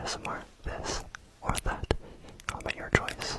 ASMR, this or that. Comment your choice.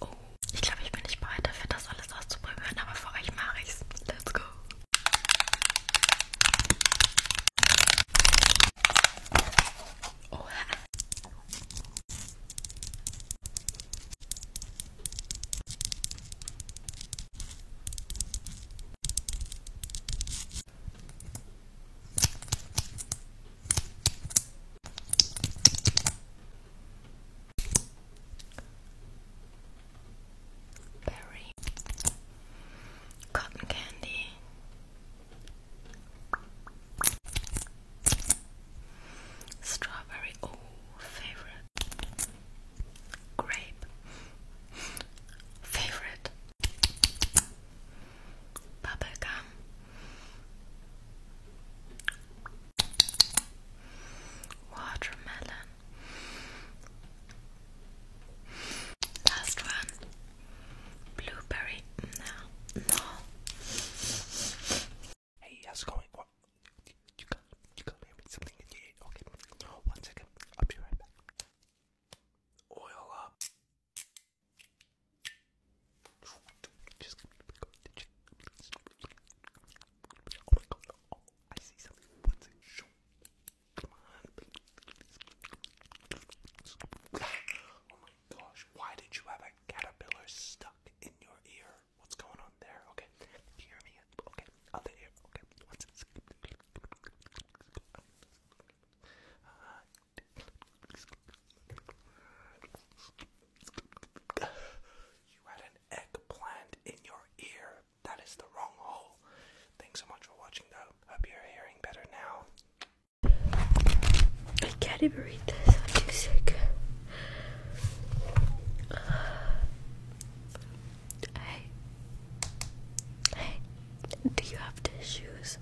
Oh, ich glaube, ich bin nicht bereit dafür, das alles auszuprobieren, aber für euch mache ich's. Let's go. Oha. Berry Cotton candy Strawberry, oh favorite Grape Favorite Bubblegum Watermelon. Last one. Blueberry. No. No. Hey, how's going? What? You got, you got me something in your Okay. One second. I'll be right back. Oil up. Oh my god, I see something. Oh my gosh, why did you have a caterpillar stuck in your ear? What's going on there? Okay, hear me? Okay, other ear. Okay, what's it? You had an eggplant in your ear. That is the wrong hole. Thanks so much for watching, though. Hope you're hearing better now. I can't even read this. I'm too sick. hey, hey, do you have tissues?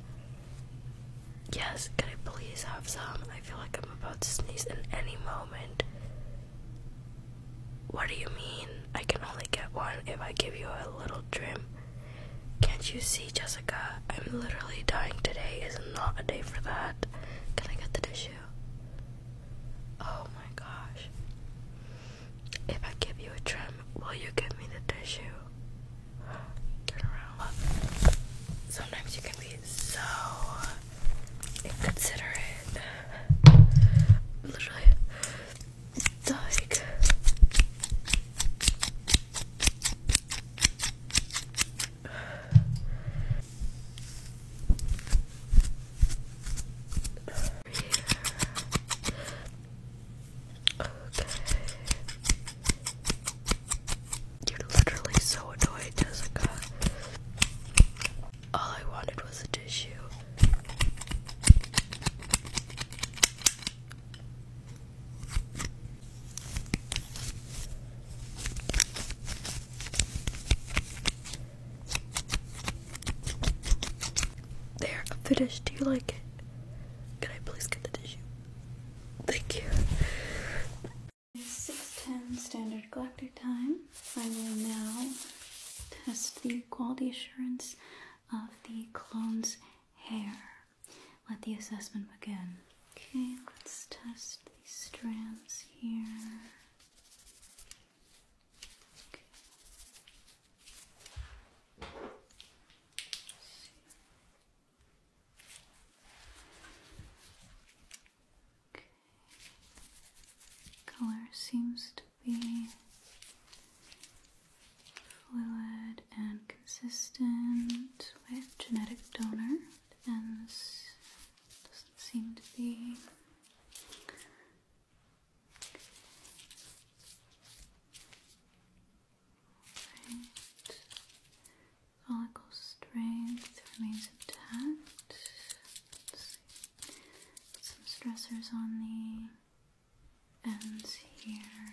Yes, can I please have some? I feel like I'm about to sneeze in any moment. What do you mean? I can only get one if I give you a little trim. Can't you see, Jessica? I'm literally dying today. Is not a day for that. Can I get the tissue? Oh my gosh. If I give you a trim, will you give me the tissue? Turn around. Sometimes you can be so considerate. Literally, like. Okay. You're literally so annoyed, Jessica. All I wanted was a tissue. There, I'm Do you like it? Can I please get the tissue? Thank you. 6.10 Standard Galactic Time. I will now test the quality assurance of the clone's hair. Let the assessment begin. Okay, let's test these strands here. Color seems to be fluid and consistent with genetic donor, and doesn't seem to be. Follicle strength remains intact. some stressors on the ends here.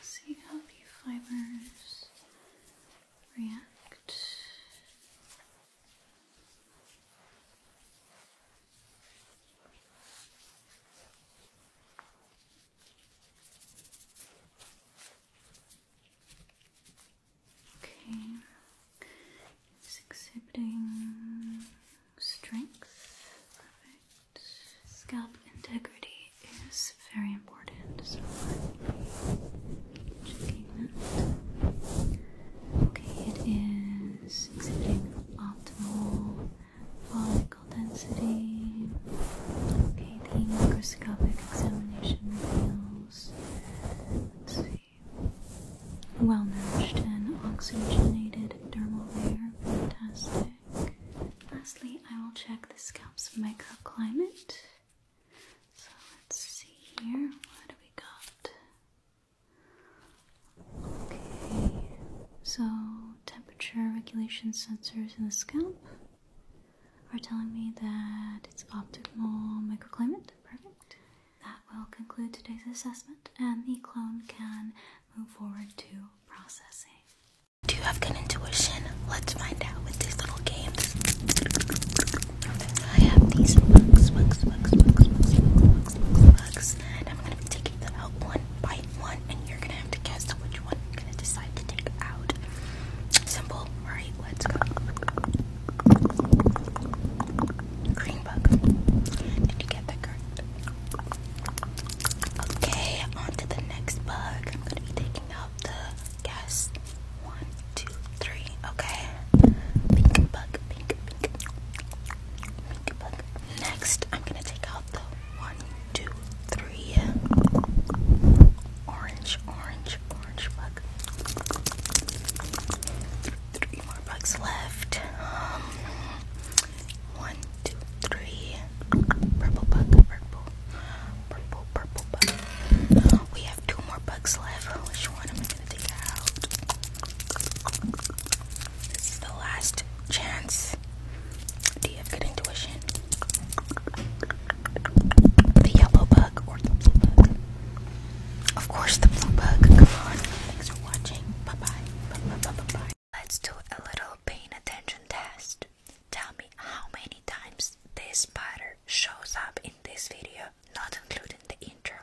see how the fibers react. Okay, it's exhibiting strength, perfect scalp integrity. It is very important, Okay, it is exhibiting optimal follicle density. Okay, the microscopic examination reveals, let's see, well nourished and oxygenated dermal layer. Fantastic. Lastly, I will check the scalp's microclimate. So let's see here. What do we got? Okay, so temperature regulation sensors in the scalp are telling me that it's optimal microclimate. Perfect. That will conclude today's assessment, and the clone can move forward to processing. Do you have good intuition? Let's find out with these little games. I have these bugs, bugs, bugs, bugs, bugs, bugs, bugs, and I'm gonna be taking them out one by one, and you're gonna have to guess which one you're gonna decide to take out. Simple, right? Let's go. Green bug. Did you get that correct? Okay, on to the next bug. I'm gonna be taking out the Yes. One, two, three. Okay. Pink bug, pink, bug. Next, I'm gonna take out the one, two, three. Orange, orange, orange bug. Three more bugs left. Um, one, two, three. Purple bug, purple, purple, purple bug. We have two more bugs left. Which one am I gonna take out? This is the last chance. Do you have good intuition? The yellow bug or the blue bug? Of course, the blue bug. Come on. Thanks for watching. Bye bye. Bye bye. Bye bye. Let's do a little paying attention test. Tell me how many times this spider shows up in this video, not including the intro.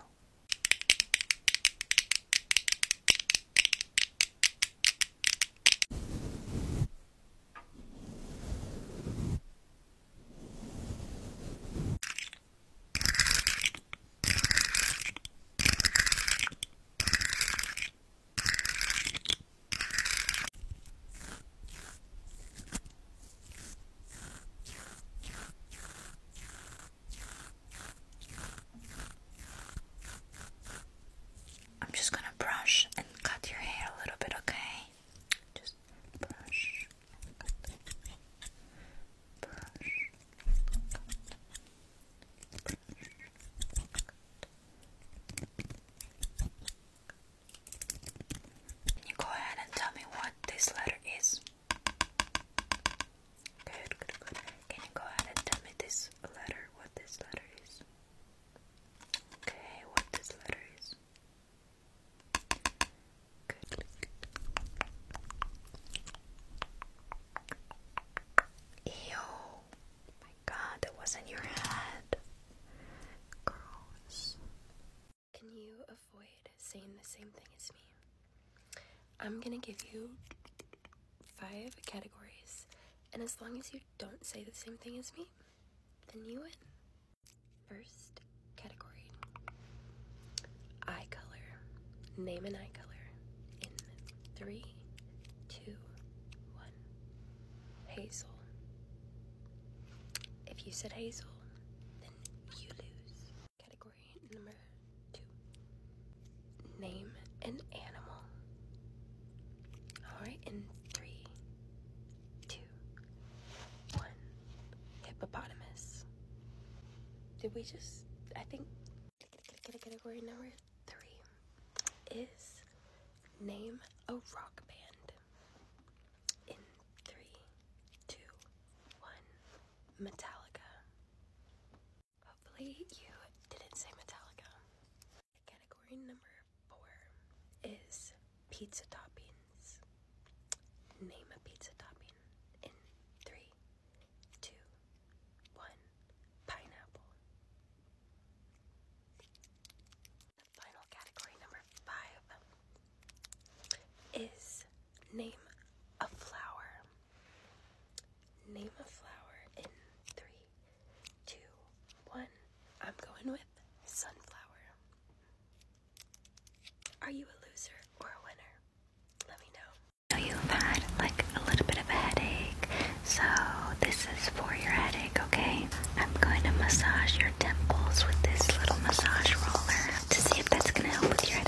I'm just gonna brush and cut your hair a little bit, okay? Just brush, brush, brush, can you go ahead and tell me what this letter is? Good, good, good. Can you go ahead and tell me this letter, what this letter is? Okay, what this letter is? Good. Ew god, that was in your head. Gross. Can you avoid saying the same thing as me? I'm gonna give you five categories, and as long as you don't say the same thing as me, then you win. First category eye color. Name an eye color in three, two, one. Hazel. If you said Hazel, then you lose. Category number two. Name an animal. Alright, in three, two, one. Hippopotamus. Did we just, I think, category number three is name a rock band in three, two, one, Metallica. Hopefully you didn't say Metallica. Category number four is pizza toppings. Name a pizza topping in three, two, one, pineapple. Final category number five is name a flower. Name a flower in three, two, one. I'm going with sunflower. Are you a loser or a winner? Let me know. So you've had like a little bit of a headache, so this is for your headache, okay? I'm going to massage your temples with this little massage roller to see if that's going to help with your headache.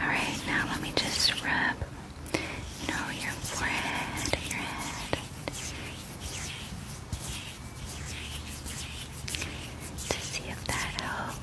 Alright, now let me just rub, you your forehead, your head. To see if that helps.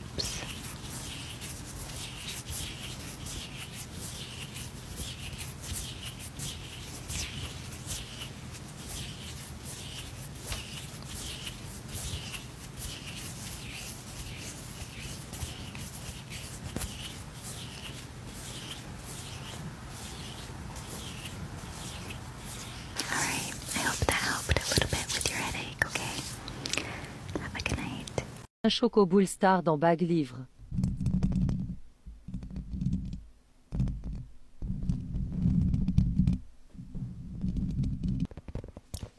All right, I hope that helped a little bit with your headache, okay? Have a good night. Un choco bull dans Bag Livre.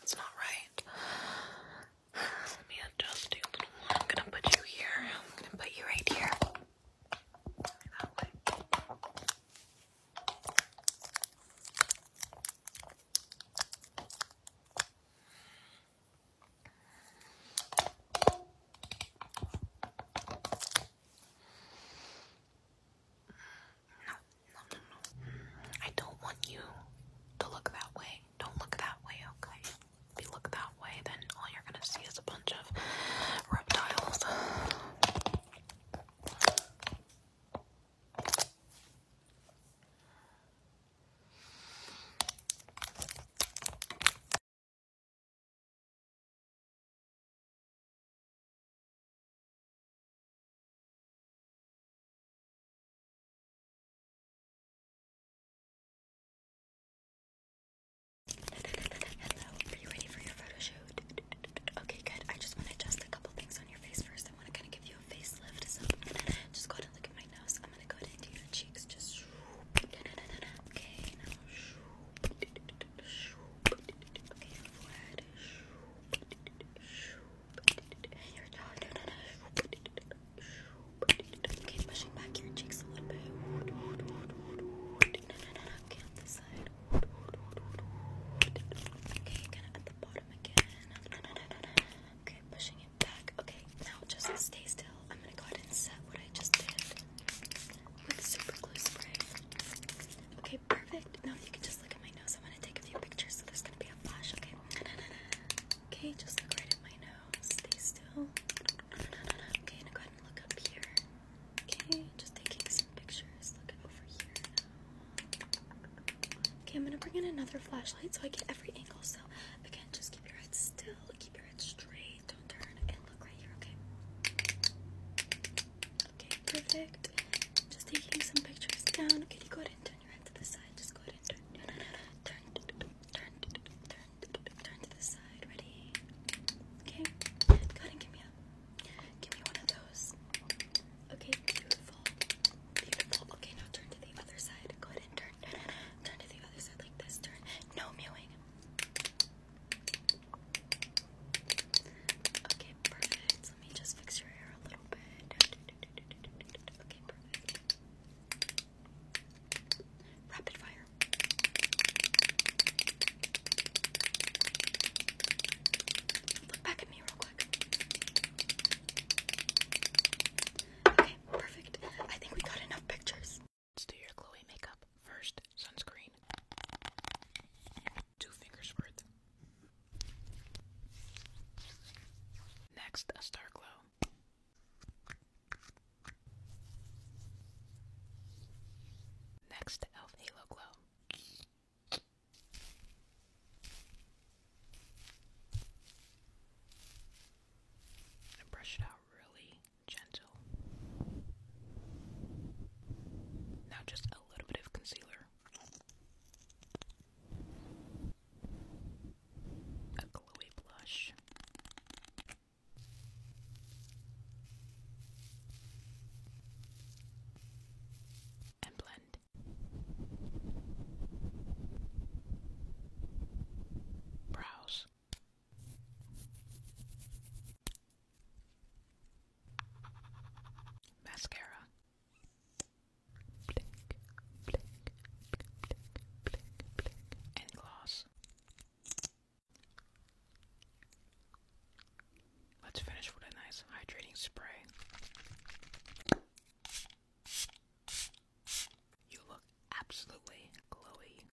That's not right. Let me adjust you I'm gonna put you here. I'm gonna put you right here. I don't want you to look that way. Don't look that way, okay? If you look that way, then all you're gonna see is a bunch of reptiles. Hello, are you ready for your photo shoot? Okay, good. I just want to adjust a couple things on your face first. I want to kind of give you a facelift. So just go ahead and look at my nose. I'm going to go ahead and your cheeks. Just okay, Okay, flat. Your jaw. No, no, no. Okay, pushing back your cheeks a little bit. No, no, no, no. Okay, on this side. Okay, kind of at the bottom again. No, no, no, no. Okay, pushing it back. Okay, now just stay still. I'm gonna go ahead and set what I just did with super glue spray. Okay, perfect. Now you can just look at my nose. I'm gonna take a few pictures, so there's gonna be a flash. Okay. Okay, just look right at my nose. Stay still. Okay, now go ahead and look up here. Okay, just taking some pictures. Look over here Okay, I'm gonna bring in another flashlight so I get every angle. So again, just keep your head still, keep your head straight. Okay, don't turn look right here, okay? Okay, perfect. Just taking some pictures down. Okay, you go ahead and turn your head to the side. Just go ahead and Turn, turn, turn, turn to the side. Ready? Okay, go ahead and give me a, give me one of those. Okay, beautiful, beautiful. Okay, now turn to the other side. Go ahead and turn, turn to the other side like this. Turn. No mewing. Okay, perfect. Let me just fix your hair a little bit. Okay, perfect. Rapid fire. Look back at me real quick. Okay, perfect. I think we got enough pictures. Let's do your Chloe makeup. First, sunscreen. Two fingers worth. Next, a star glow. Next, Elf Halo Glow. And brush it out really gentle. Now, just a little bit of concealer, a glowy blush. And blend. Brows. Mascara. Blink, blink, blink, blink, blink, And gloss. Let's finish with a nice hydrating spray. You look absolutely glowy.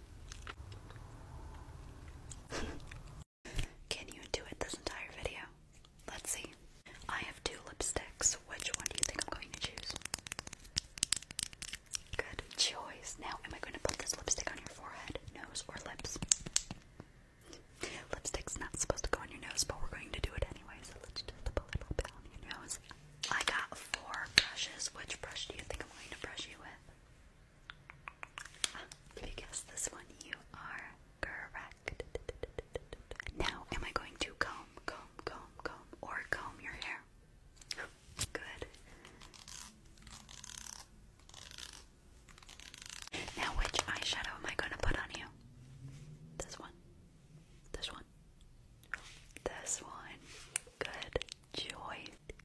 Can you do it this entire video? Let's see. I have two lipsticks. Which one do you think I'm going to choose? Good choice. Now, am I going to put this lipstick on your forehead, nose, or lips? Lipstick's not supposed to go on your nose, but we're going to do it anyway, so let's just put a little bit on your nose I got four brushes. Which brush do you think I'm going to brush you with? if you guess this one, you are correct. Now, am I going to comb, comb, comb, comb, or comb your hair? Good. Now, which eyeshadow am I going to put on you? This one. This one. This one. Good choice.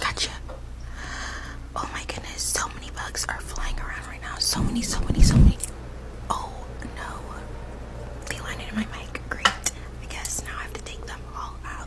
Gotcha. Oh my goodness, so many bugs are flying around right now. So many, so many, so many. Oh no. They landed in my mic. Great. I guess now I have to take them all out.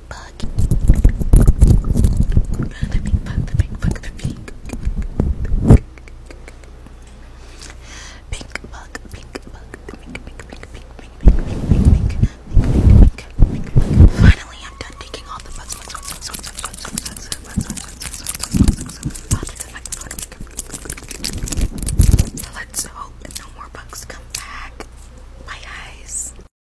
little bug. The bug, the big bug, the pink. Pink bug, pink bug, the pink, pink, pink, pink, pink, pink, pink, pink, pink, pink, pink, Finally, I'm done taking all the bugs, Let's hope no more bugs come back. Bye, guys.